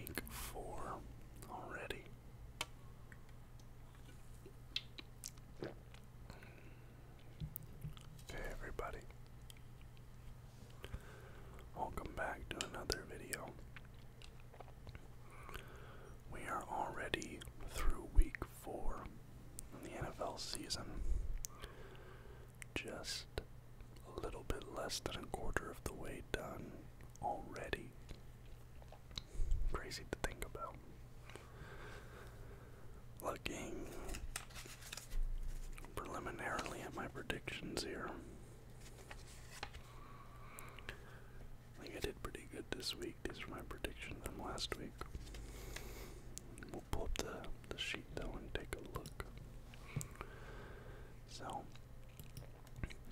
Week four already. Hey everybody. Welcome back to another video. We are already through week four in the NFL season just a little bit less than a quarter of the way done already. Crazy to think about. Looking preliminarily at my predictions here. I think I did pretty good this week. These are my predictions from last week. We'll the, the sheet sheet and take a look. So,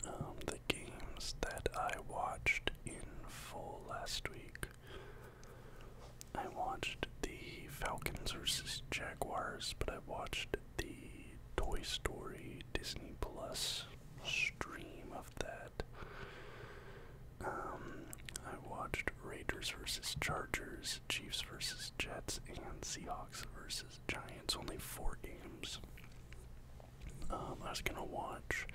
um, the games that I watched in full last week, I watched the Falcons versus Jaguars, but I watched the Toy Story Disney Plus stream of that. Um, I watched Raiders versus Chargers, Chiefs versus Jets, and Seahawks versus. Giants, only four games. Um, I was gonna watch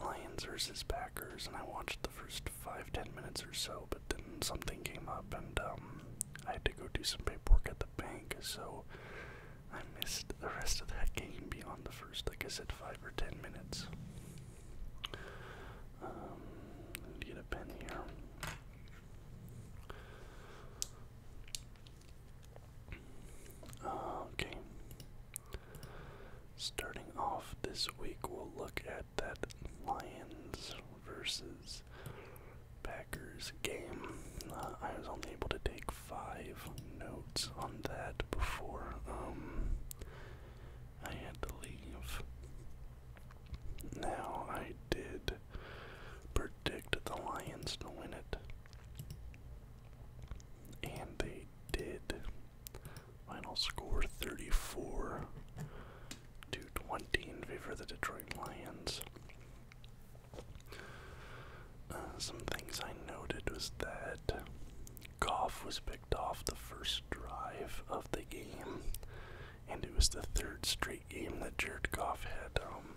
Lions versus Packers, and I watched the first five, ten minutes or so, but then something came up, and um, I had to go do some paperwork at the bank, so I missed the rest of that game beyond the first, like I said, five or ten minutes. Um, get a pen here. Okay. Starting off this week, we'll look at that Lions versus Packers game. Uh, I was only able to take five notes on that before um, I had to leave. Now, I did predict the Lions to win it. And they did. Final score 34 to 20 in favor of the Detroit Lions. Uh, some things I noted was that Goff was picked off the first drive of the game, and it was the third straight great game that Jared Goff had um,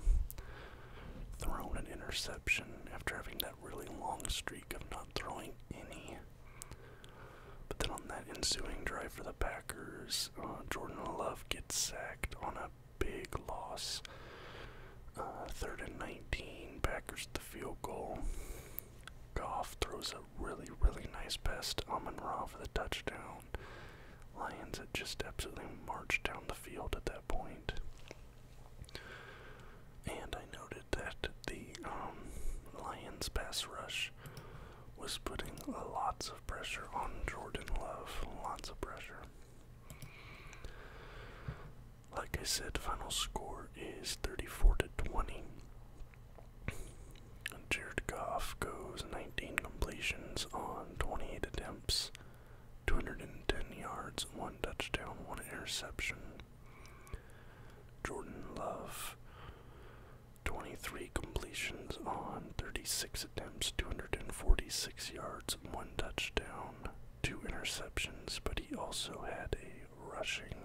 thrown an interception after having that really long streak of not throwing any. But then on that ensuing drive for the Packers, uh, Jordan Love gets sacked on a big loss. Uh, third and 19, Packers the field goal. Goff throws a really, really nice pass to Amon Ra for the touchdown. Lions had just absolutely marched down the field at that And I noted that the um, Lions pass rush was putting lots of pressure on Jordan Love. Lots of pressure. Like I said, final score is 34 to 20. Jared Goff goes 19 completions on 28 attempts, 210 yards, 1 touchdown, 1 interception. Jordan Love, 23 completions on 36 attempts, 246 yards, 1 touchdown, 2 interceptions, but he also had a rushing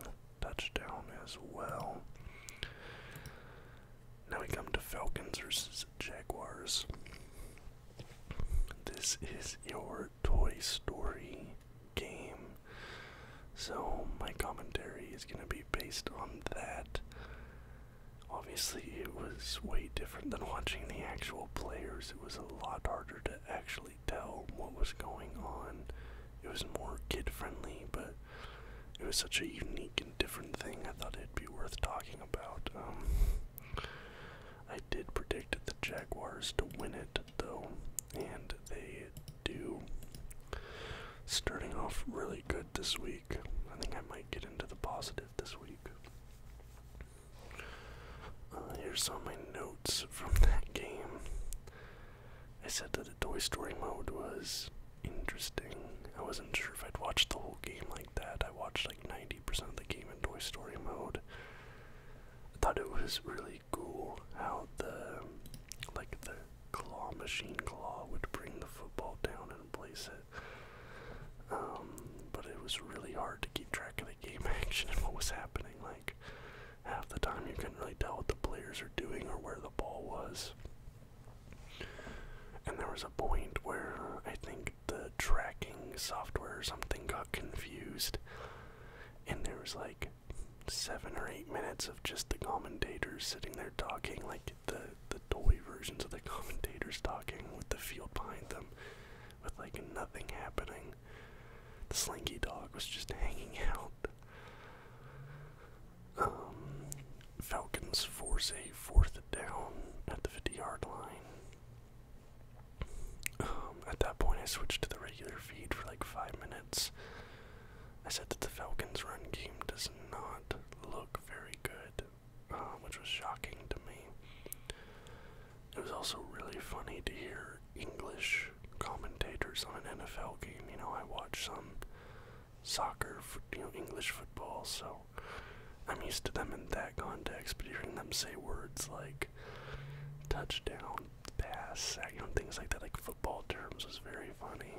touchdown as well. Now we come to Falcons versus Jaguars. This is your Toy Story game. So my commentary is going to be based on that. Obviously, it was way different than watching the actual players. It was a lot harder to actually tell what was going on. It was more kid friendly, but it was such a unique different thing I thought it'd be worth talking about. Um, I did predict the Jaguars to win it, though, and they do. Starting off really good this week. I think I might get into the positive this week. Uh, here's some my notes from that game. I said that the Toy Story mode was interesting. I wasn't sure if I'd watch the whole game like that. I watched like 90% of the game in Toy Story mode. I thought it was really cool how the like the claw machine claw would bring the football down and place it. Um, but it was really hard to keep track of the game action and what was happening. Like half the time you couldn't really tell what the players are doing or where the ball was. And there was a point where I think the tracking software or something got confused, and there was like seven or eight minutes of just the commentators sitting there talking, like the the toy versions of the commentators talking with the field behind them, with like nothing happening. The slinky dog was just hanging out. Um, Falcons force a fourth down at the 50 yard line. Um, at that point, I switched to the regular feed for like five minutes. I said that the Falcons' run game does not look very good, uh, which was shocking to me. It was also really funny to hear English commentators on an NFL game. You know, I watched some soccer, you know, English football. So I'm used to them in that context. But hearing them say words like touchdown, pass, uh, you know, things like that, like football terms, was very funny.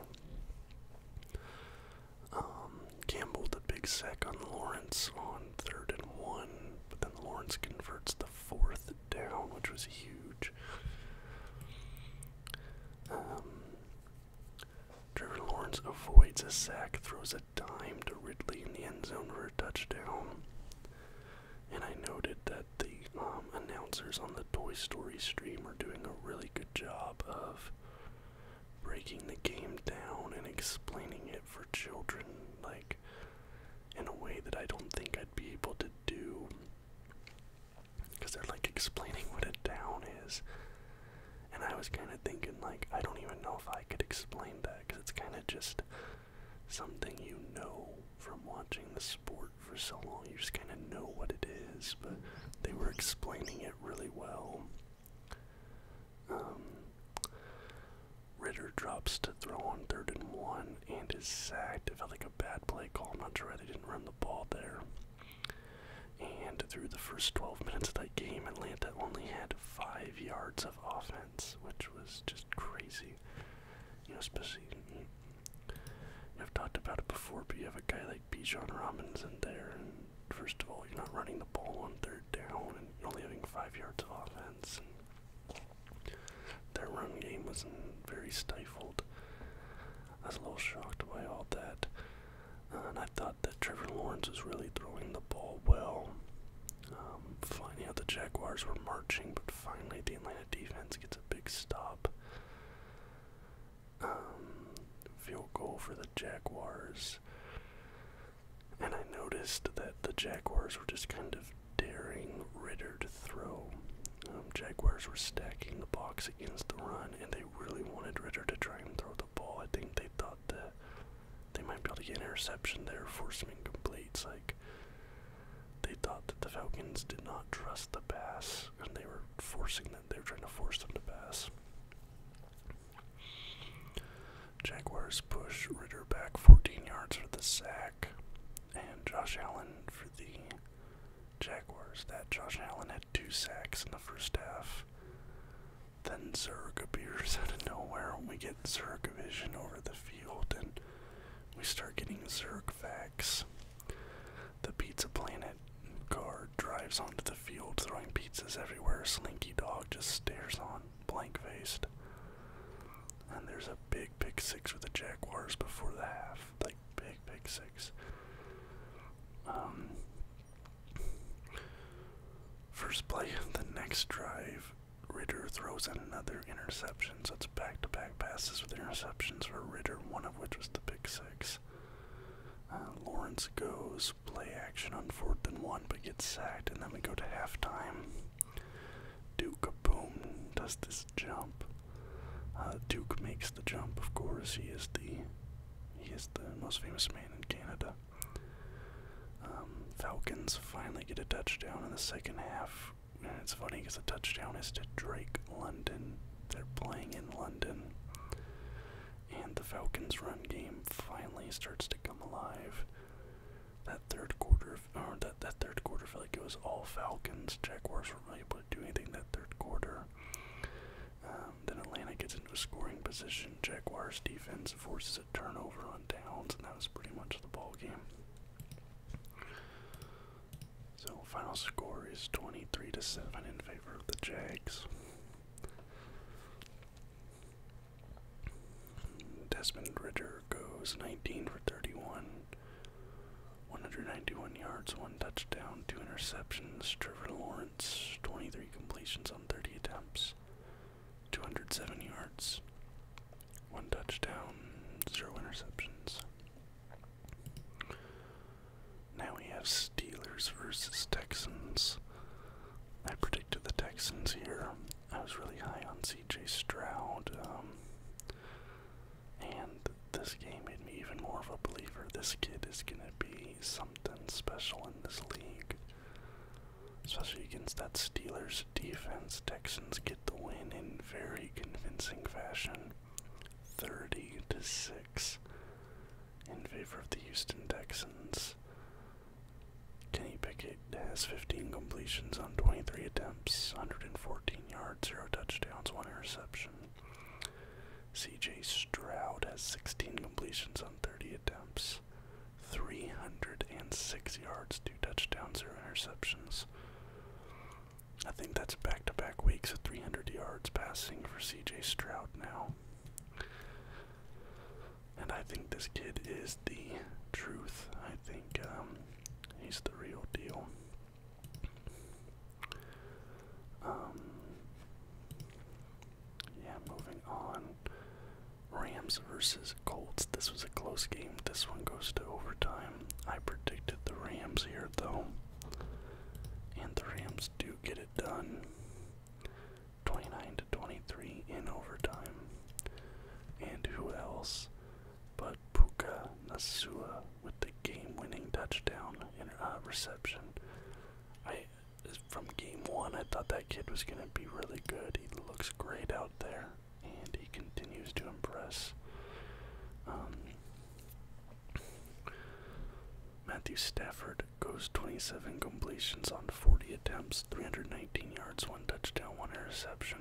Campbell um, did a big sack on Lawrence on third and one, but then Lawrence converts the fourth down, which was huge. Um, Drew Lawrence avoids a sack, throws a dime to Ridley in the end zone for a touchdown. And I noted that the um, announcers on the Toy Story stream are doing a really good job of breaking the game down and explaining it for children, like in a way that I don't think I'd be able to do. Because they're like explaining what a down is and I was kind of thinking, like, I don't even know if I could explain that because it's kind of just something you know from watching the sport for so long. You just kind of know what it is, but they were explaining it really well. Um, Ritter drops to throw on third and one and is sacked. It felt like a bad play call. I'm not sure why they didn't run the ball there. And through the first 12 minutes of that game, Atlanta only had five yards of offense, which was just crazy. You know, especially mm, I've talked about it before, but you have a guy like Bijan Robinson there, and first of all, you're not running the ball on third down, and you're only having five yards of offense. And their run game was not very stifled. I was a little shocked by all that, uh, and I thought that Trevor Lawrence was really throwing the ball well. Um, finding out the Jaguars were marching, but finally the Atlanta defense gets a big stop. Um, field goal for the Jaguars. And I noticed that the Jaguars were just kind of daring Ritter to throw. Um, Jaguars were stacking the box against the run, and they really wanted Ritter to try and throw the ball. I think they thought that they might be able to get an interception there for some incompletes. Like they thought that the Falcons did not trust the pass, and they were forcing them. They were trying to force them to pass. Jaguars push Ritter back 14 yards for the sack, and Josh Allen for the Jaguars. That Josh Allen had two sacks in the first half. Then Zerg appears out of nowhere, and we get Zerg vision over the field, and we start getting Zerg facts. The Pizza Planet guard drives onto the field, throwing pizzas everywhere. Slinky Dog just stares on, blank faced. And there's a big pick six with the Jaguars before the half. Like, big pick six. Um, First play of the next drive, Ritter throws in another interception. So it's back to back passes with interceptions for Ritter, one of which was the big six. Uh, Lawrence goes play action on fourth and one, but gets sacked, and then we go to halftime. Duke Boom does this jump. Uh, Duke makes the jump, of course. He is the he is the most famous man in Canada. Um, Falcons finally get a touchdown in the second half. And it's funny because the touchdown is to Drake London. They're playing in London. And the Falcons' run game finally starts to come alive. That third quarter, or that, that third quarter felt like it was all Falcons. Jaguars weren't really able to do anything that third quarter. Um, then Atlanta gets into a scoring position. Jaguars defense forces a turnover on downs, and that was pretty much the ball game. So final score is 23 to 7 in favor of the Jags. Desmond Ritter goes 19 for 31, 191 yards, one touchdown, two interceptions. Trevor Lawrence, 23 completions on 30 attempts, 207 yards, one touchdown, zero interceptions. Now we have Steelers versus Texans. I predicted the Texans here. I was really high on C.J. Stroud, um, and this game made me even more of a believer. This kid is gonna be something special in this league especially against that Steelers defense. Texans get the win in very convincing fashion, 30 to 6 in favor of the Houston Texans. Kenny Pickett has 15 completions on 23 attempts, 114 yards, 0 touchdowns, 1 interception. CJ Stroud has 16 completions on 30 attempts, 306 yards, two touchdowns, zero interceptions. I think that's back to back weeks of 300 yards passing for CJ Stroud now. And I think this kid is the truth. I think um, he's the real deal. Um, yeah, moving on. Rams versus Colts. This was a close game. This one goes to overtime. I predicted the Rams here, though. And the Rams do get it done. 29 to 23 in overtime. And who else but Puka Nasua with the game winning touchdown and uh, reception? from game one, I thought that kid was going to be really good. He looks great out there, and he continues to impress. Um, Matthew Stafford goes 27 completions on 40 attempts, 319 yards, one touchdown, one interception.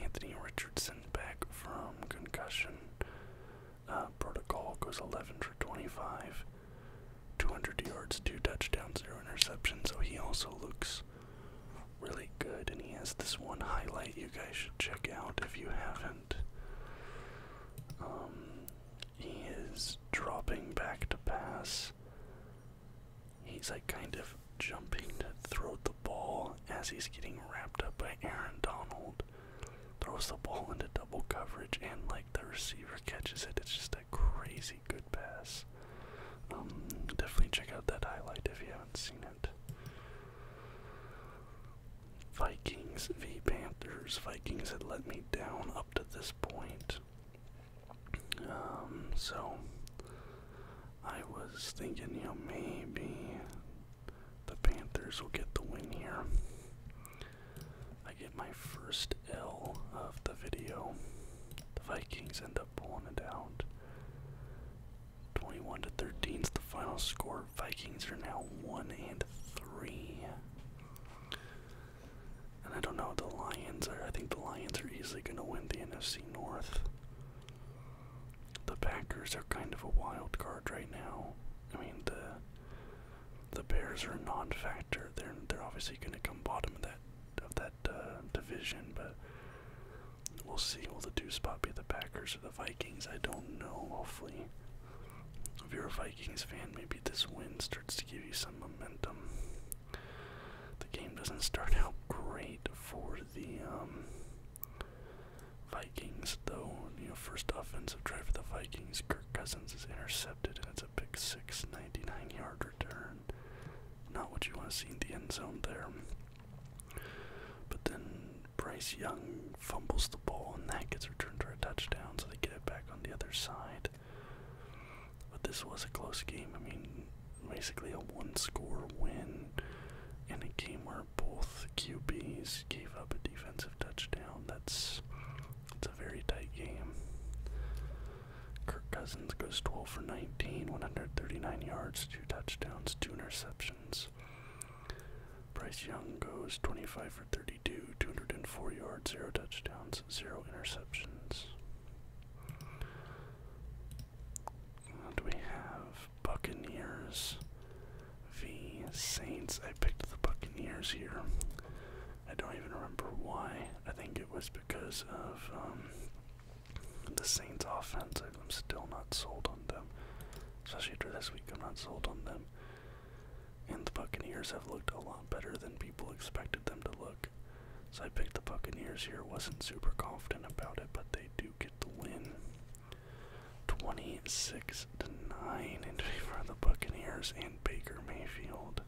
Anthony Richardson back from concussion uh, protocol goes 11 for 25. 200 yards, two touchdowns, zero interceptions. So he also looks really good, and he has this one highlight you guys should check out if you haven't. Um, he is dropping back to pass. He's like kind of jumping to throw the ball as he's getting wrapped up by Aaron Donald. Throws the ball into double coverage and like the receiver catches it. It's just a crazy good pass. Um, definitely check out that highlight if you haven't seen it. Vikings v Panthers. Vikings had let me down up to this point. Um, so I was thinking, you know, maybe the Panthers will get the win here. I get my first L of the video. The Vikings end up pulling it out. 21 to 13 is the final score. Vikings are now 1 and 3. And I don't know, the Lions are, I think the Lions are easily going to win the NFC North. The Packers are kind of a wild card right now. I mean, the the Bears are a non-factor. They're they're obviously going to come bottom of that of that uh, division, but we'll see. Will the two spot be the Packers or the Vikings? I don't know. Hopefully, if you're a Vikings fan, maybe this win starts to give you some momentum. The game doesn't start out great for the um, Vikings, though. You know, first offensive drive for the Vikings, Kirk Cousins is intercepted, and it's a big six, yard return. Not what you want to see in the end zone there. But then Bryce Young fumbles the ball, and that gets returned for a touchdown, so they get it back on the other side. But this was a close game. I mean, basically a one score win in a game where both QBs gave up a defensive touchdown. That's it's a very tight game. Kirk Cousins goes 12 for 19, 139 yards, 2 touchdowns, 2 interceptions. Bryce Young goes 25 for 32, 204 yards, 0 touchdowns, 0 interceptions. do we have? Buccaneers v. Saints. I picked the Buccaneers here. I don't even remember why. I think it was because of um, the Saints' offense. I'm still not sold on them, especially after this week. I'm not sold on them. And the Buccaneers have looked a lot better than people expected them to look. So I picked the Buccaneers here. wasn't super confident about it, but they do get the win. 26 to 9 in favor of the Buccaneers and Baker Mayfield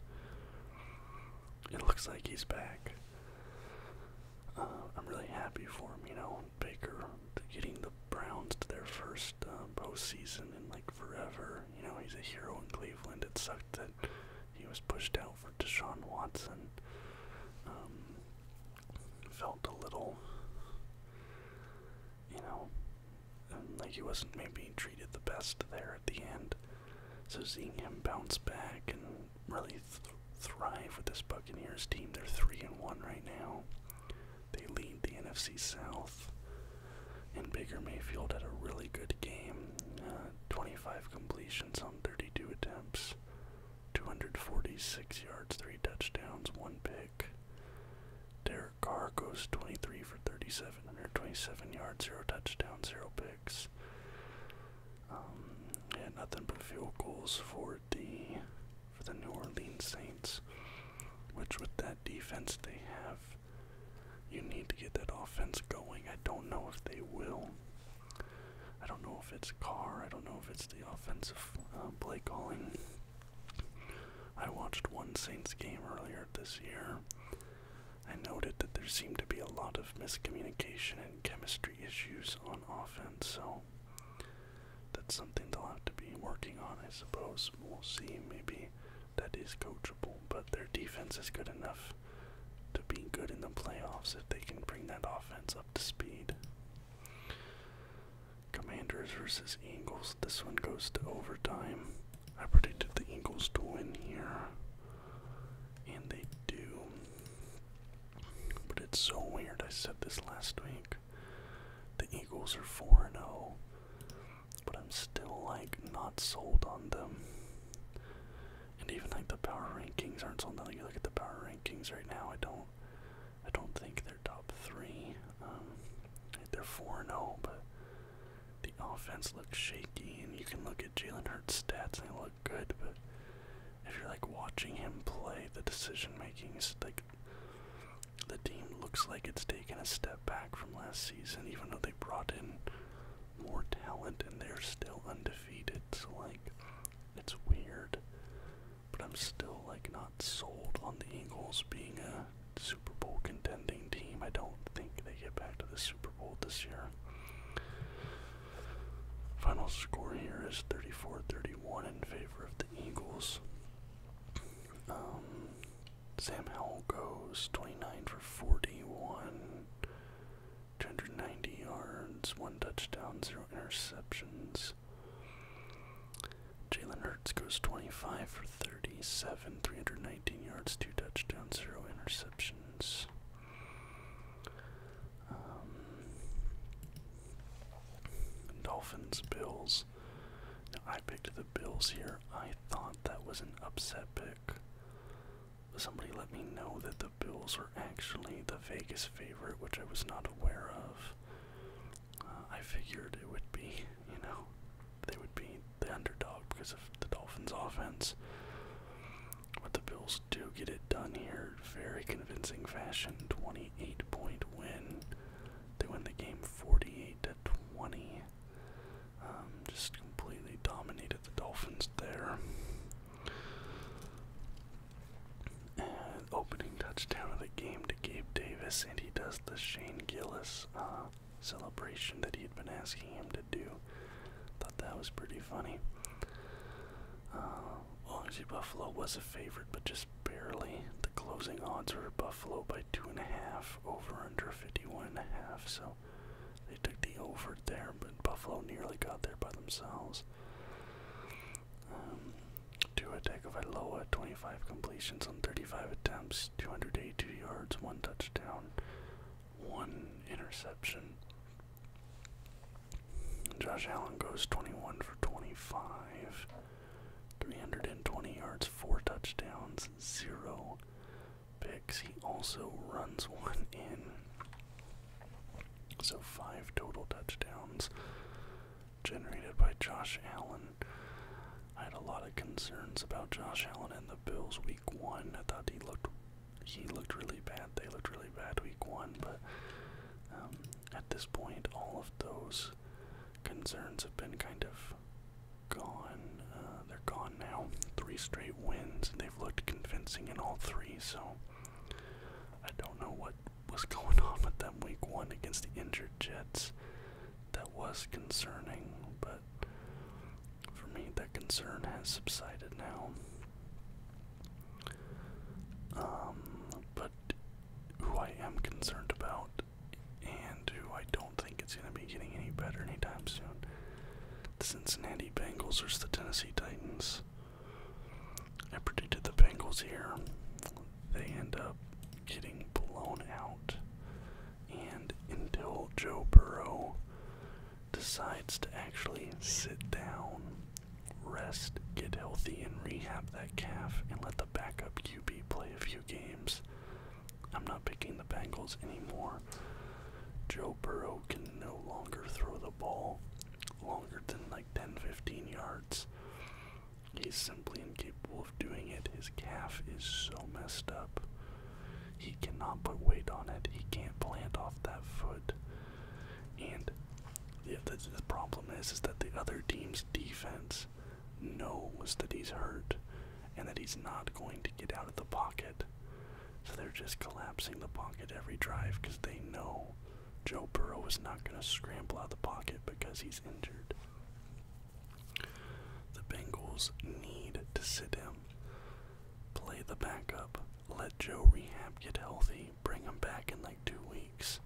it looks like he's back. Uh, I'm really happy for him, you know, Baker getting the Browns to their first uh, postseason in like forever. You know, he's a hero in Cleveland. It sucked that he was pushed out for Deshaun Watson. Um, felt a little, you know, um, like he wasn't maybe treated the best there at the end. So seeing him bounce back and really thrive with this Buccaneers team, they're three and one right now. They lead the NFC South. And Baker Mayfield had a really good game. Uh, 25 completions on 32 attempts, 246 yards, three touchdowns, one pick. Derek Carr goes 23 for 37, 127 yards, zero touchdowns, zero picks. Um, yeah, nothing but field goals for the for the New Orleans Saints, which with that defense they have, you need to get that offense going. I don't know if they will. I don't know if it's Carr. I don't know if it's the offensive uh, play calling. I watched one Saints game earlier this year, I noted that there seemed to be a lot of miscommunication and chemistry issues on offense, so that's something they'll have to be working on, I suppose. We'll see. Maybe that is coachable, but their defense is good enough to be good in the playoffs if they can bring that offense up to speed. Commanders versus Eagles. This one goes to overtime. I predicted the Eagles to win here. And they do. But it's so weird. I said this last week. The Eagles are 4 0, but I'm still like not sold on them. And even like the power rankings aren't sold on. Like, you look at the power rankings right now. I don't. I don't think they're top three. Um, they're 4 0, but the offense looks shaky. And you can look at Jalen Hurts' stats and they look look good, but if you're like watching him play, the decision making is like the team looks like it's taken a step back from last season, even though they brought in more talent and they're still undefeated. So like, it's weird, but I'm still like not sold on the Eagles being a Super Bowl contending team. I don't think they get back to the Super this year. Final score here is 34 31 in favor of the Eagles. Um, Sam Howell goes 29 for 41, 290 yards, one touchdown, zero interceptions. Jalen Hurts goes 25 for 37, 319 yards, two touchdowns, zero interceptions. Um, Dolphins, Bills. I picked the Bills here. I thought that was an upset pick. Somebody let me know that the Bills were actually the Vegas favorite, which I was not aware of. Uh, I figured it would be, you know, they would be the underdog because of the Dolphins' offense. But the Bills do get it done here. Very convincing fashion. 28 point win. They win the game 48 to 20. Um, just completely dominated the Dolphins there. opening touchdown of the game to Gabe Davis, and he does the Shane Gillis uh, celebration that he had been asking him to do. Thought that was pretty funny. Uh, well, actually, Buffalo was a favorite, but just barely. The closing odds were Buffalo by two and a half, over under 51 and a half. So they took the over there, but Buffalo nearly got there by themselves. Um, Tua Tagovailoa, 25 completions on 35 attempts, 282 yards, one touchdown one interception. Josh Allen goes 21 for 25, 320 yards, four touchdowns, zero picks. He also runs one in. So five total touchdowns generated by Josh Allen. I had a lot of concerns about Josh Allen and the Bills week one. I thought he looked he looked really bad. They looked really bad week one, but um, at this point, all of those concerns have been kind of gone. Uh, they're gone now. Three straight wins. They've looked convincing in all three. So I don't know what was going on with them week one against the injured Jets. That was concerning, but for me, that concern has subsided now. Um, but who I am concerned about and who I don't think it's going to be getting any better anytime soon. The Cincinnati Bengals or the Tennessee Titans. I predicted the Bengals here. They end up getting blown out. And until Joe Burrow decides to actually sit down, rest, get healthy, and rehab that calf and let the backup QB play a few games. I'm not picking the Bengals anymore. Joe Burrow can no longer throw the ball longer than like 10 15 yards. He's simply incapable of doing it. His calf is so messed up. He cannot put weight on it. He can't plant off that foot. And the, problem is, is that the other team's defense knows that he's hurt and that he's not going to get out of the pocket. So they're just collapsing the pocket every drive because they know Joe Burrow is not going to scramble out of the pocket because he's injured. The Bengals need to sit down, play the backup, let Joe rehab get healthy, bring him back in like two weeks.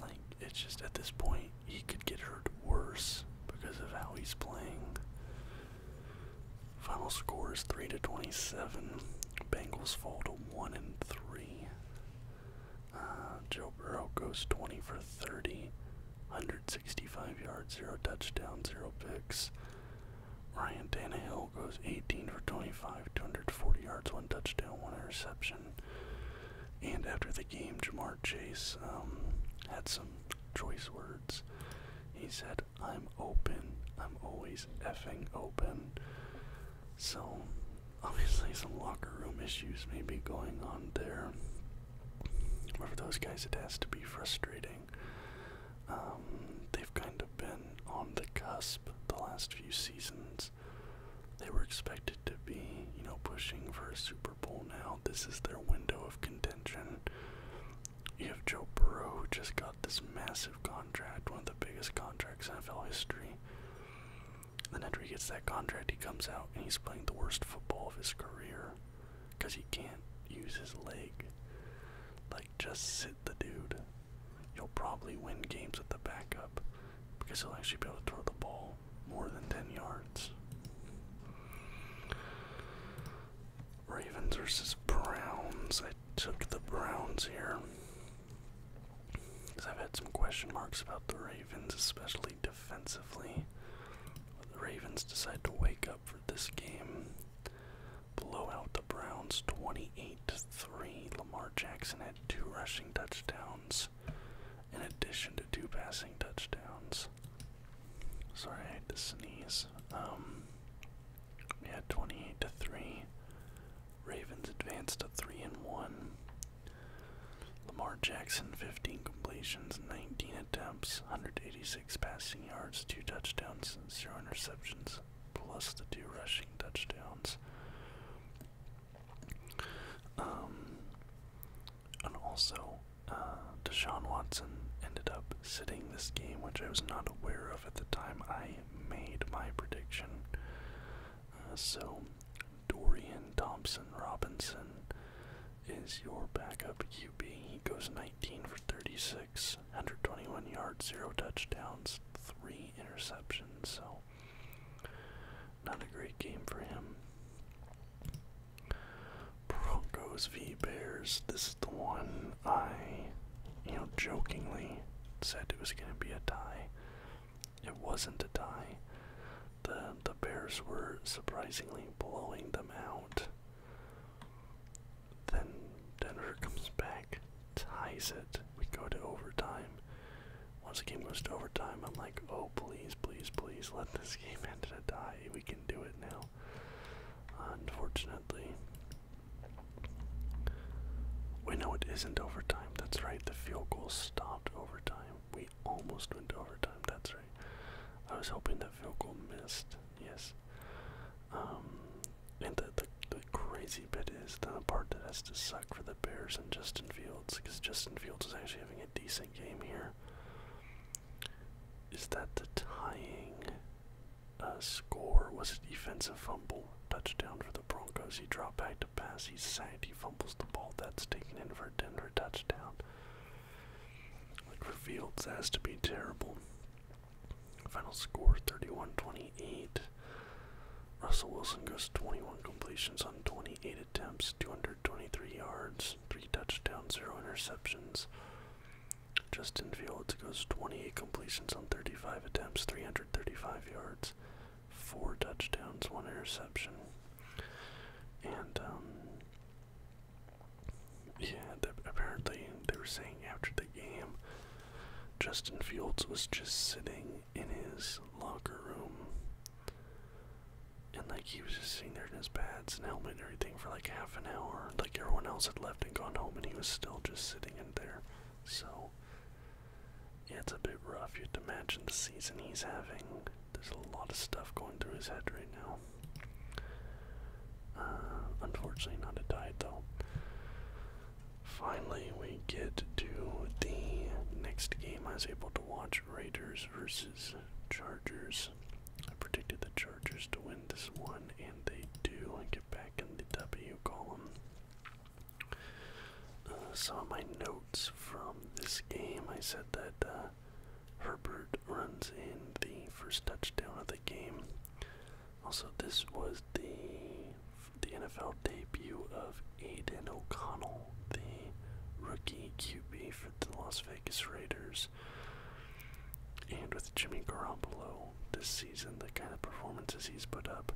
Like, it's just at this point, he could get hurt worse because of how he's playing. Final score is 3 to 27. Bengals fall to 1 and 3. Uh, Joe Burrow goes 20 for 30, 165 yards, 0 touchdowns, 0 picks. Ryan Tannehill goes 18 for 25, 240 yards, one touchdown, one interception. And after the game, Jamar Chase um, had some choice words. He said, I'm open. I'm always effing open. So, obviously, some locker room issues may be going on there. for those guys, it has to be frustrating. Um, they've kind of been on the cusp the last few seasons. They were expected to be, you know, pushing for a Super Bowl now. This is their window of contention. You have Joe Burrow, who just got this massive contract, one of the biggest contracts in NFL history. And after he gets that contract, he comes out and he's playing the worst football of his career because he can't use his leg. Like, just sit the dude. You'll probably win games with the backup because he'll actually be able to throw the ball more than 10 yards. Ravens versus Browns. I took the Browns here because I've had some question marks about the Ravens, especially defensively. But the Ravens decide to wake up for this game blow out the Browns 28-3. Lamar Jackson had two rushing touchdowns in addition to two passing touchdowns. Sorry, I had to sneeze. we um, had 28 to 3. Ravens advanced to 3 and 1. Lamar Jackson, 15 completions, 19 attempts, 186 passing yards, 2 touchdowns, 0 interceptions plus the two rushing touchdowns. Um, and also, uh, Deshaun Watson ended up sitting this game, which I was not aware of at the time I made my prediction. Uh, so, Dorian Thompson Robinson is your backup QB. He goes 19 for 36 six, 121 yards, zero touchdowns, three interceptions. So not a great game for him. Broncos v Bears. This is the one I, you know, jokingly said it was going to be a tie. It wasn't a tie. The the Bears were surprisingly blowing them out. Then Denver comes back, ties it. We go to overtime. Once again, goes to overtime, I'm like, oh, please, please, please, let this game end in a tie. We can do it now. Unfortunately. we know it isn't overtime. That's right. The field goal stopped overtime. We almost went to overtime. That's right. I was hoping the field goal missed. Yes. Um, and the, the, the crazy bit is the part that has to suck for the Bears and Justin Fields, because Justin Fields is actually having a decent game here. Is that the tying uh, score was a defensive fumble, touchdown for the Broncos? He dropped back to pass, he's sacked, he fumbles the ball. That's taken in for a Denver touchdown. Like Reveals Fields, has to be terrible. Final score 31 28. Russell Wilson goes 21 completions on 28 attempts, 223 yards, 3 touchdowns, 0 interceptions. Justin Fields goes 28 completions on 35 attempts, 335 yards, 4 touchdowns, 1 interception. And, um, yeah, apparently they were saying after the game Justin Fields was just sitting in his locker room. And like he was just sitting there in his pads and helmet and everything for like half an hour. Like everyone else had left and gone home and he was still just sitting in there. So yeah, it's a bit rough. You have to imagine the season he's having. There's a lot of stuff going through his head right now. Uh, unfortunately, not a diet though. Finally, we get to the next game. I was able to watch Raiders versus Chargers. I predicted the Chargers to win this one, and they do. I get back in the W column. Uh, some of my notes from this game, I said that uh, Herbert runs in the first touchdown of the game. Also, this was the the NFL debut of Aiden O'Connell, the rookie QB for the Las Vegas Raiders. And with Jimmy Garoppolo this season, the kind of performances he's put up,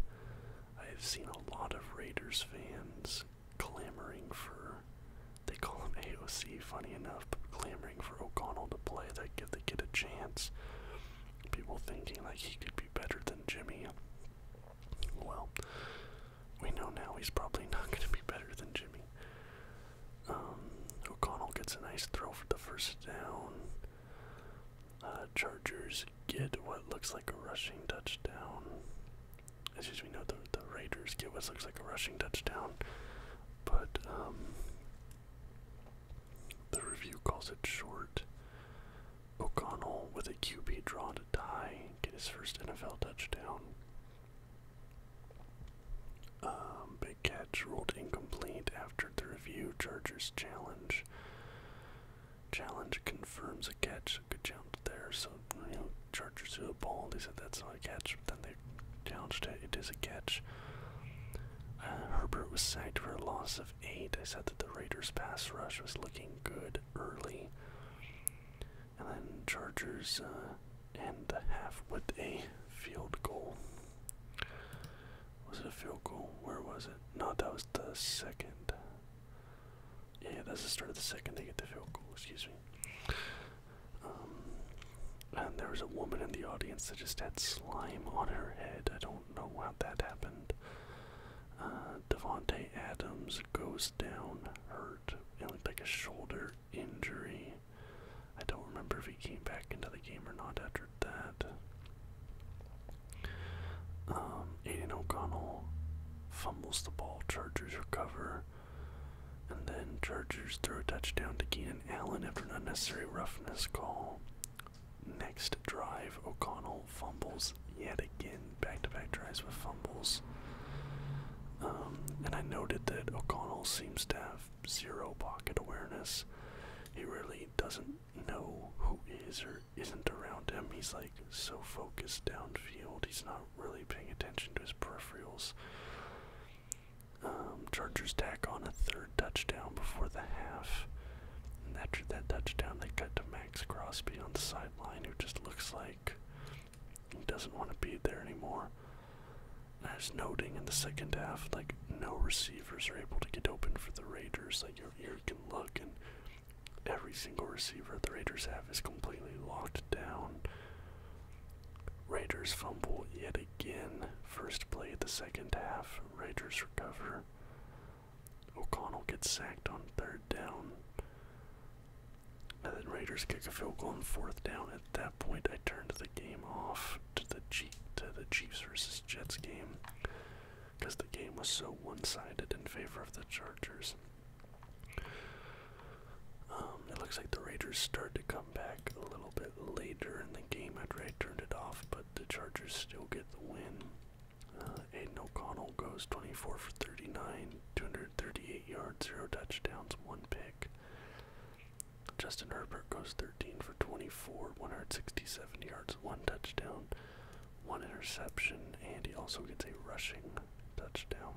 I have seen a lot of Raiders fans clamoring for. They call him AOC, funny enough, but clamoring for O'Connell to play, that give the kid a chance. People thinking like he could be better than Jimmy. Well, we know now he's probably not going to be better than Jimmy. Um, O'Connell gets a nice throw for the first down. Uh, Chargers get what looks like a rushing touchdown. As me, know, the, Raiders get what looks like a rushing touchdown. But um, the review calls it short. O'Connell with a QB draw to tie, get his first NFL touchdown. Um, big catch ruled incomplete after the review. Chargers challenge. Challenge confirms a catch. Good jump there. So you know, Chargers do a ball. They said that's not a catch, but then they challenged it. It is a catch. Uh, Herbert was sacked for a loss of eight. I said that the Raiders pass rush was looking good early. And then Chargers uh, end the half with a field goal. Was it field goal? Where was it? No, that was the second. Yeah, that's the start of the second. They get the field goal, excuse me. Um, and there was a woman in the audience that just had slime on her head. I don't don't know how that happened. Uh, Devonte Adams goes down hurt. It looked like a shoulder injury. I don't remember if he came back into the game or not after that. Um, Aiden O'Connell fumbles the ball. Chargers recover. And then charges throw a touchdown to Keenan Allen after an unnecessary roughness call. Next drive, O'Connell fumbles yet again, back-to-back drives with fumbles. Um, and I noted that O'Connell seems to have zero pocket awareness. He really doesn't know who is or isn't around him. He's like so focused downfield, he's not really paying attention to his peripherals. Um, Chargers tack on a third touchdown before the half after that touchdown, they cut to Max Crosby on the sideline, who just looks like he doesn't want to be there anymore. And noting in the second half, like no receivers are able to get open for the Raiders. Like your ear can look, and every single receiver the Raiders have is completely locked down. Raiders fumble yet again. First play of the second half. Raiders recover. O'Connell gets sacked on third down. And then Raiders kick a field goal on fourth down. At that point, I turned the game off to the G to the Chiefs versus Jets game because the game was so one-sided in favor of the Chargers. Um, it looks like the Raiders start to come back a little bit later in the game after I turned it off, but the Chargers still get the win. Uh, Aiden O'Connell goes 24 for 39, 238 yards, 0 touchdowns, 1 pick. Justin Herbert goes 13 for 24, 167 yards, 1 touchdown, 1 interception, and he also gets a rushing touchdown.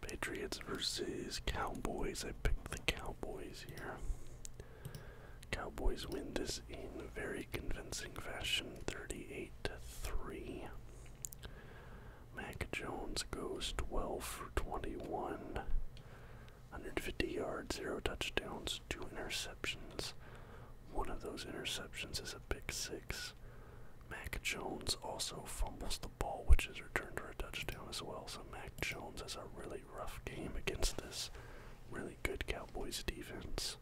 Patriots versus Cowboys. I picked the Cowboys here. Cowboys win this in a very convincing fashion 38 to 3. Mac Jones goes 12 for 21, 150 yards, 0 touchdowns, 2 interceptions. One of those interceptions is a pick 6. Mac Jones also fumbles the ball, which is returned for a touchdown as well. So Mac Jones is a really rough game against this really good Cowboys defense.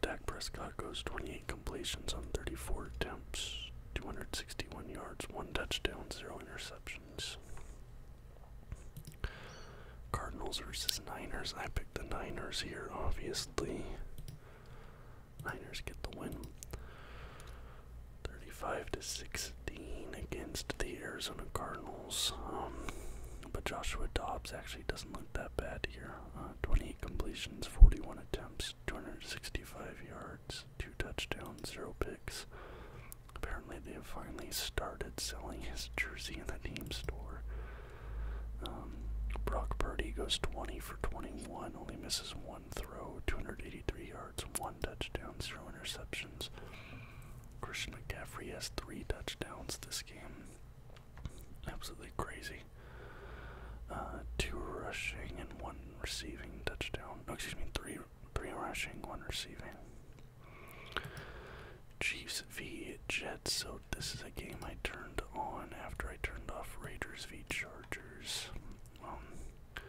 Dak Prescott goes 28 completions on 34 attempts, 261 yards, 1 touchdown, 0 interceptions. Cardinals versus Niners. I picked the Niners here, obviously. Niners get the win. 35 to 6 against the Arizona Cardinals. Um, but Joshua Dobbs actually doesn't look that bad here. Uh, 28 completions, 41 attempts, 265 yards, two touchdowns, zero picks. Apparently, they have finally started selling his jersey in the team store. Um, Brock Purdy goes 20 for 21, only misses one throw, 283 yards, one touchdown, zero interceptions. Christian McCaffrey has three touchdowns this game. Absolutely crazy. Uh, two rushing and one receiving touchdown. excuse me, three three rushing, one receiving. Chiefs v Jets. So this is a game I turned on after I turned off Raiders v Chargers. Um,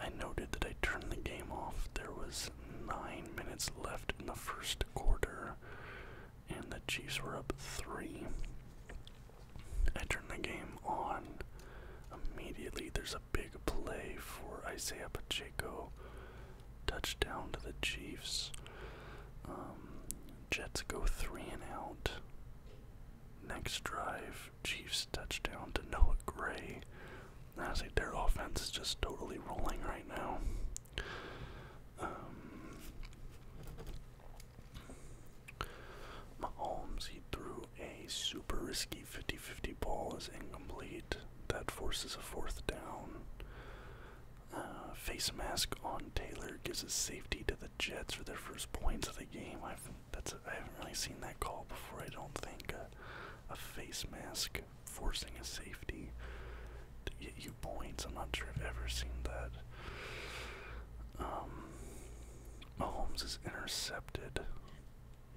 I noted that I turned the game off. There was nine minutes left in the first quarter, and the Chiefs were up three. I turned the game on immediately. There's a big play for Isaiah Pacheco, touchdown to the Chiefs. Um, Jets go three and out. Next drive, Chiefs touchdown to Noah Gray honestly, their offense is just totally rolling right now. Um, Mahomes, he threw a super risky 50 50 ball, is incomplete. That forces a fourth down. Uh, face mask on Taylor gives a safety to the Jets for their first points of the game. I've, that's a, I haven't really seen that call before, I don't think. a face mask forcing a safety to get you points. I'm not sure I've ever seen that. Um, Mahomes is intercepted.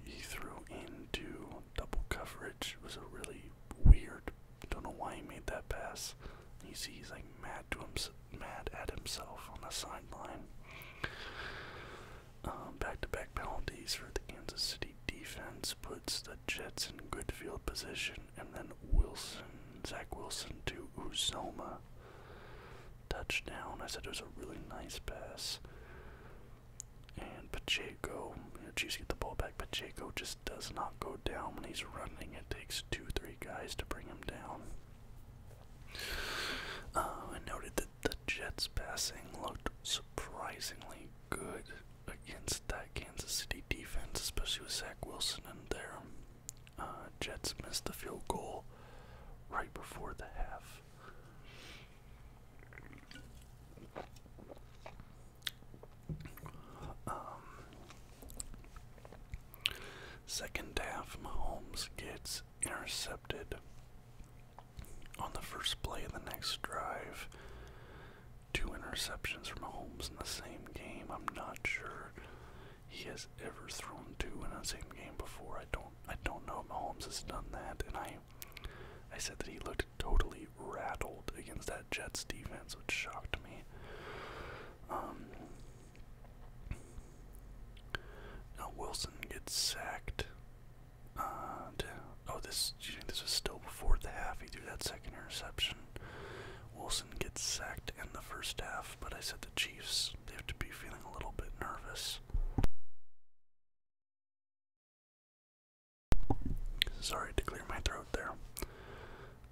He threw into double coverage. It was a really weird. Don't know why he made that pass. You see, he's like mad to himself, mad at himself on the sideline. back to -back penalties for the Kansas City defense puts the Jets in good field position, and then Wilson, Zach Wilson to Uzoma. Touchdown. I said it was a really nice pass. And Pacheco, you know, get the ball back. Pacheco just does not go down when he's running. It takes two, three guys to bring him down. Uh, I noted that the Jets passing looked surprisingly good against that Kansas City defense, especially with Zach Wilson in there. Uh, Jets missed the field goal right before the half. Um, second half, Mahomes gets intercepted on the first play of the next drive two interceptions from Holmes in the same game. I'm not sure he has ever thrown two in a same game before. I don't I don't know if Mahomes has done that and I I said that he looked totally rattled against that Jets defense, which shocked me. Um, now Wilson gets sacked uh, oh, this. Do this was still before the half? He threw that second interception. Wilson gets sacked in the first half, but I said the Chiefs. They have to be feeling a little bit nervous. Sorry to clear my throat there.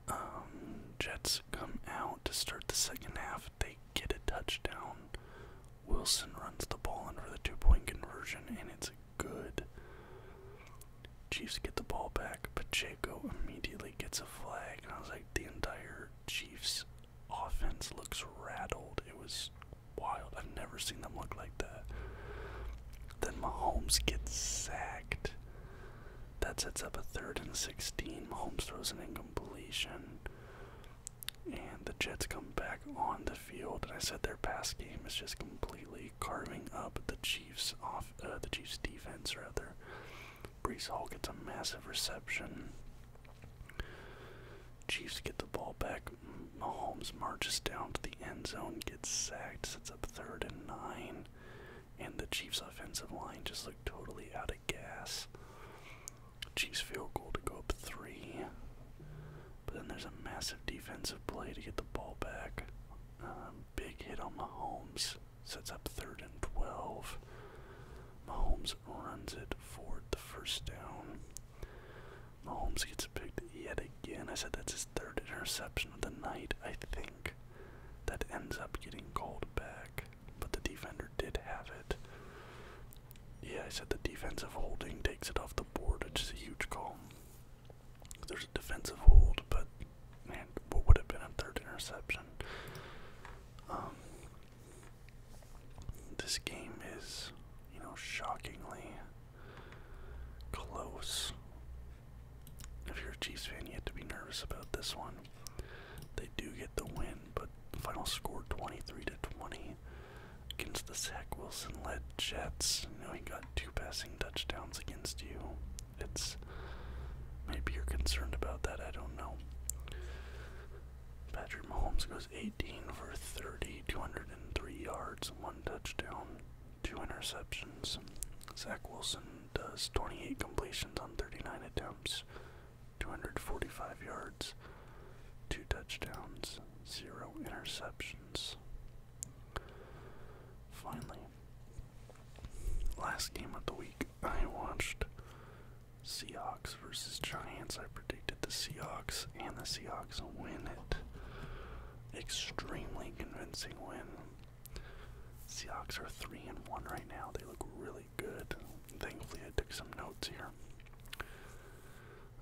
Um, Jets come out to start the second half. They get a touchdown. Wilson runs the ball in for the two point conversion, and it's good. Chiefs get the ball back. Pacheco immediately gets a flag. And I was like, the entire Chiefs offense looks rattled. It was wild. I've never seen them look like that. Then Mahomes gets sacked. That sets up a third and 16. Mahomes throws an incompletion. And the Jets come back on the field, and I said their past game is just completely carving up the Chiefs off uh, the Chiefs defense rather. Brees Hall gets a massive reception. Chiefs get the ball back. Mahomes marches down to the end zone, gets sacked, sets up third and nine, and the Chiefs offensive line just looked totally out of gas. Chiefs field goal to go up three. But then there's a massive defensive play to get the ball back. Um, big hit on Mahomes. Sets up third and 12. Mahomes runs it for the first down. Mahomes gets picked yet again. I said that's his third interception of the night, I think. That ends up getting called back, but the defender did have it. Yeah, I said the defensive holding takes it off the board, which just a huge call. There's a defensive hold, but man, what would have been a third interception? Um, this game is, you know, shockingly close. If you're a Chiefs fan, you have to be nervous about this one. They do get the win, but final score 23 to 20 against the Zach Wilson led Jets. You know, he got two passing touchdowns against you. It's maybe you're concerned about that, I don't know. Patrick Mahomes goes 18 for 30, 203 yards, one touchdown, two interceptions. Zach Wilson does 28 completions on 39 attempts, 245 yards, two touchdowns, zero interceptions. Finally, last game of the week, I watched Seahawks versus Giants. I predicted the Seahawks, and the Seahawks win it. Extremely convincing win. Seahawks are three and one right now. They look really good. Thankfully, I took some notes here.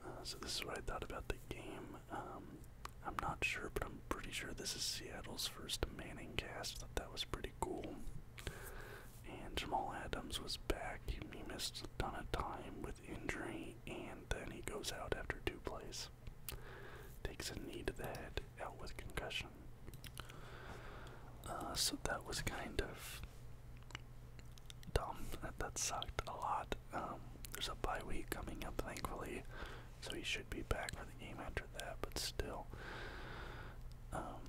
Uh, so this is what I thought about the game. Um, I'm not sure, but I'm pretty sure this is Seattle's first Manning cast. Thought that was pretty cool. And Jamal Adams was back. He, missed a ton of time with injury, and then he goes out after two plays. Takes a knee to the head, out with concussion. Uh, so that was kind of dumb. That, sucked a lot. Um, there's a bye week coming up, thankfully so he should be back for the game after that. But still, um,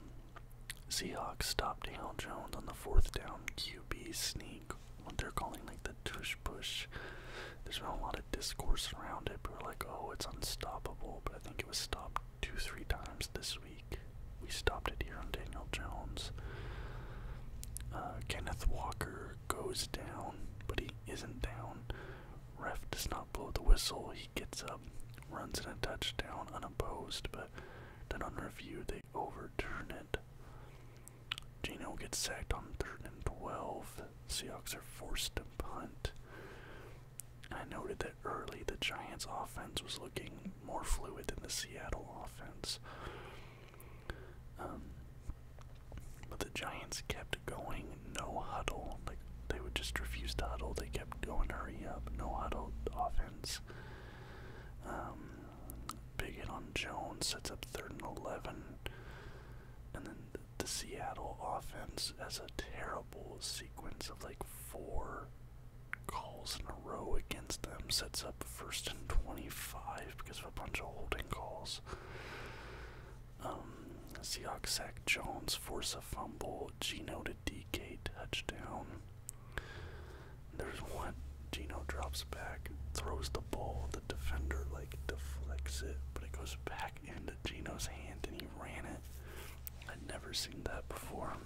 Seahawks stop Daniel Jones on the fourth down QB sneak. What they're calling like the tush push. There's been a lot of discourse around it. we are like, "Oh, it's unstoppable," but I think it was stopped two, three times this week. We stopped it here on Daniel Jones. Uh, Kenneth Walker goes down, but he isn't down. Ref does not blow the whistle. He gets up, runs in a touchdown unopposed, but then on review they overturn it. Geno gets sacked on third and twelve. Seahawks are forced to punt. I noted that early the Giants offense was looking more fluid than the Seattle offense. Um, but the Giants kept going, no huddle. Like they would just refuse to huddle. They kept going, hurry up, no huddle offense. Um, on Jones sets up third and eleven, and then the, the Seattle offense has a terrible sequence of like four calls in a row against them. Sets up first and twenty-five because of a bunch of holding calls. Um, Seahawks Jones, force a fumble, Gino to DK touchdown. There's one. Gino drops back, throws the ball. The defender like deflects it, but it goes back into Gino's hand, and he ran it. I'd never seen that before.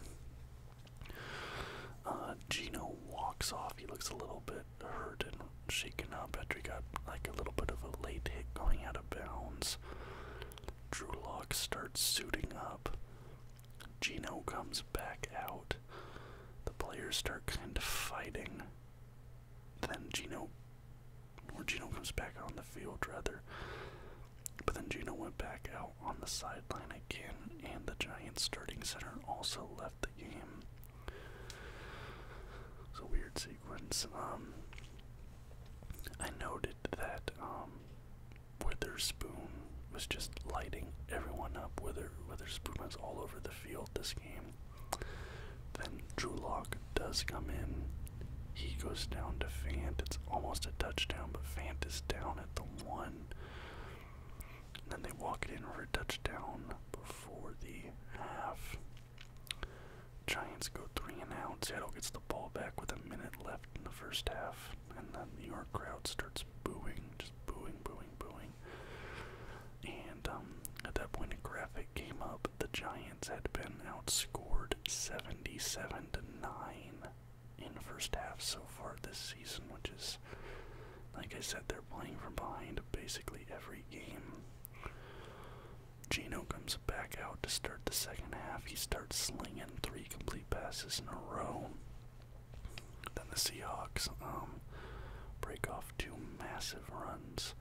Uh, Gino walks off. He looks a little bit hurt shaken up after got like a little bit of a late hit going out of bounds. Drew Lock starts suiting up. Gino comes back out. The players start kind of fighting. Then Gino, or Gino comes back out on the field rather. But then Gino went back out on the sideline again, and the Giants starting center also left the game. It's a weird sequence. Um, I noted that um, Witherspoon was just lighting everyone up. Witherspoon was all over the field this game. Then Drew Lock does come in. He goes down to Fant. It's almost a touchdown, but Fant is down at the one. then they walk it in for a touchdown before the half. Giants go three and out. Seattle gets the ball back with a minute left in the first half, and the New York crowd starts booing, just booing, booing, booing. And um, at that point, a graphic came up. The Giants had been outscored 77 to nine in the first half so far this season, which is, like I said, they're playing from behind basically every game. Gino comes back out to start the second half. He starts slinging three complete passes in a row. Then the Seahawks um, break off two massive runs.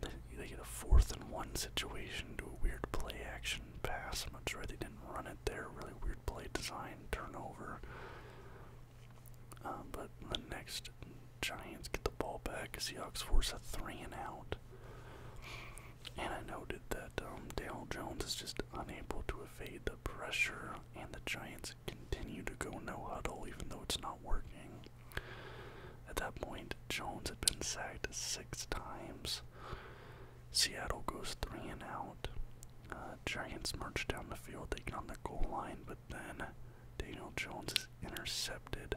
They, get a fourth and one situation, do a weird play action pass. I'm not sure they didn't run it there. Really weird play design, turnover. Um, but the next Giants get the ball back. Seahawks force a three and out. And I noted that um, Dale Jones is just unable to evade the pressure, and the Giants continue to go no huddle even though it's not working. At that point, Jones had been sacked six times. Seattle goes three and out. Uh, Giants march down the field, they get on the goal line, then Daniel Jones is intercepted.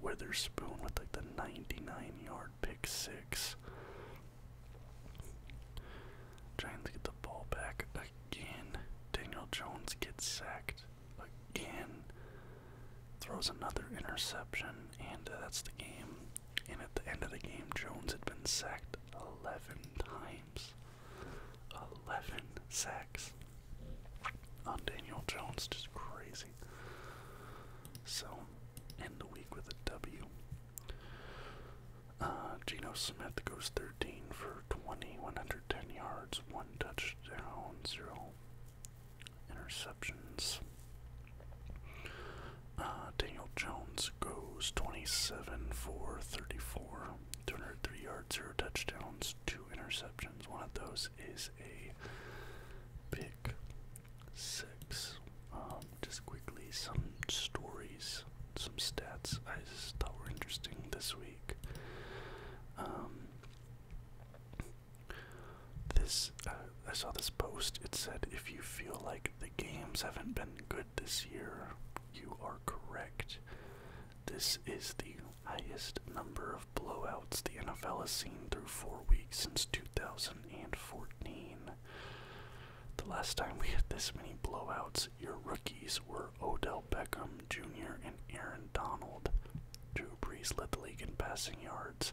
Witherspoon with like the 99 yard pick six. Trying to get the ball back again. Daniel Jones gets sacked again. Throws another interception, and uh, that's the game. And at the end of the game, Jones had been sacked 11 times. 11 sacks on uh, Daniel Jones, just crazy. So, end the week with a W. Uh, Geno Smith goes 13 for 20, 110 yards, 1 touchdown, 0 interceptions. Uh, Daniel Jones goes 27 for 34, 203 yards, 0 touchdowns, two interceptions. One of those is a pick six. Um, just quickly, some stories, some stats I thought were interesting this week. Um, this uh, I saw this post. It said, "If you feel like the games haven't been good this year, you are correct. This is the highest number of blowouts the NFL has seen through four weeks since 2014. The last time we had this many blowouts, your rookies were Odell Beckham Jr. and Aaron Donald. Drew Brees led the league in passing yards.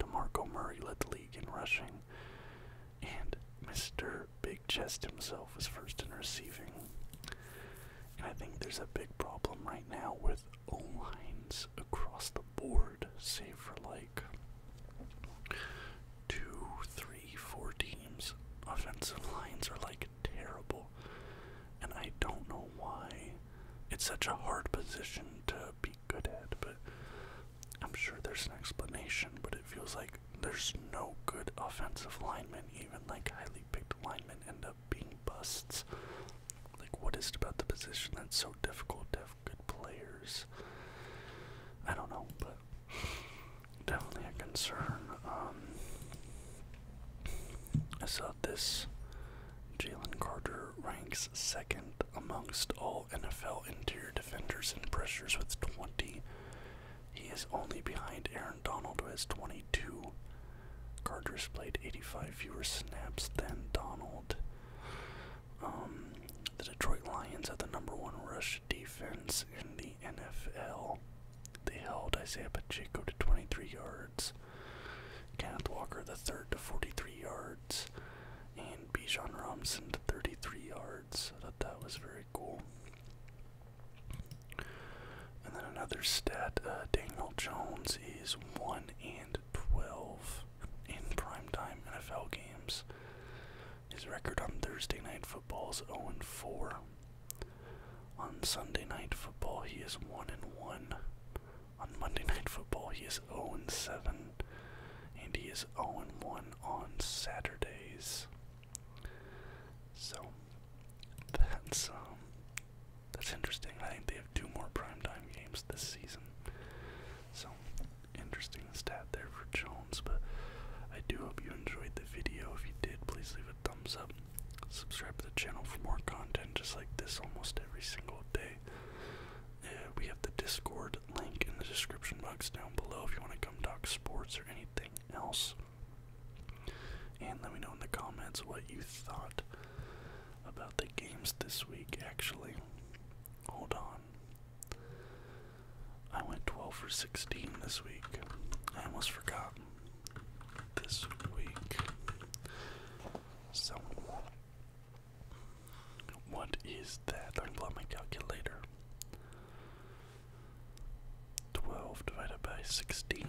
DeMarco Murray led the league in rushing. And Mr. Big Chest himself was first in receiving. I think there's a big problem right now with lines across the board, save for like two, three, four teams. Offensive lines are like terrible. And I don't know why it's such a hard position to be good at, but I'm sure there's an explanation, but it feels like there's no good offensive linemen, even like highly picked linemen, and being busts. Like, what is about the position that's so difficult to have good players? I don't know, but definitely a concern. Um, I saw this. Jalen Carter ranks second amongst all NFL interior defenders in pressures with 20. He is only behind Aaron Donald, who has 22. Gardner's played 85 fewer snaps than Donald. Um, the Detroit Lions are the number one rush defense in the NFL. They held Isaiah Pacheco to 23 yards, Kenneth Walker the third to 43 yards, and Bijan Robinson to 33 yards. I thought that was very cool. And then another stat, uh, Daniel Jones is 1 and 12 in primetime NFL games. His record on Thursday night football is 0 and 4. On Sunday night football, he is 1 and 1. On Monday night football, he is 0 and 7. And he is 0 and 1 on Saturdays. So that's um that's interesting. I think they have two more primetime games this season. So, interesting stat there for Jones. But I do hope you enjoyed the video. If you did, please leave a thumbs up. Subscribe to the channel for more content just like this almost every single day. we have the Discord link in the description box down below if you want to come talk sports or anything else. And let me know in the comments what you thought about the games this week, actually. Hold on. I went 12 for 16 this week. I almost forgot. This week. So, what is that? I'm glad my calculator. 12 divided by 16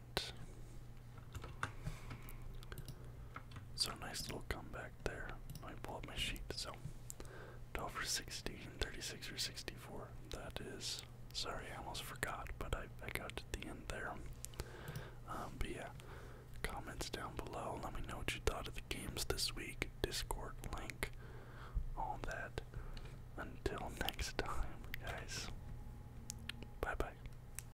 So nice little comeback there. I pull up my sheet. So 12 for 16, 36 for 64. That is, sorry, I almost forgot, but I, I got to the end there. Um, but yeah, comments down below. Let me know what you thought of the games this week. Discord link, all that. Until next time, guys. Bye bye.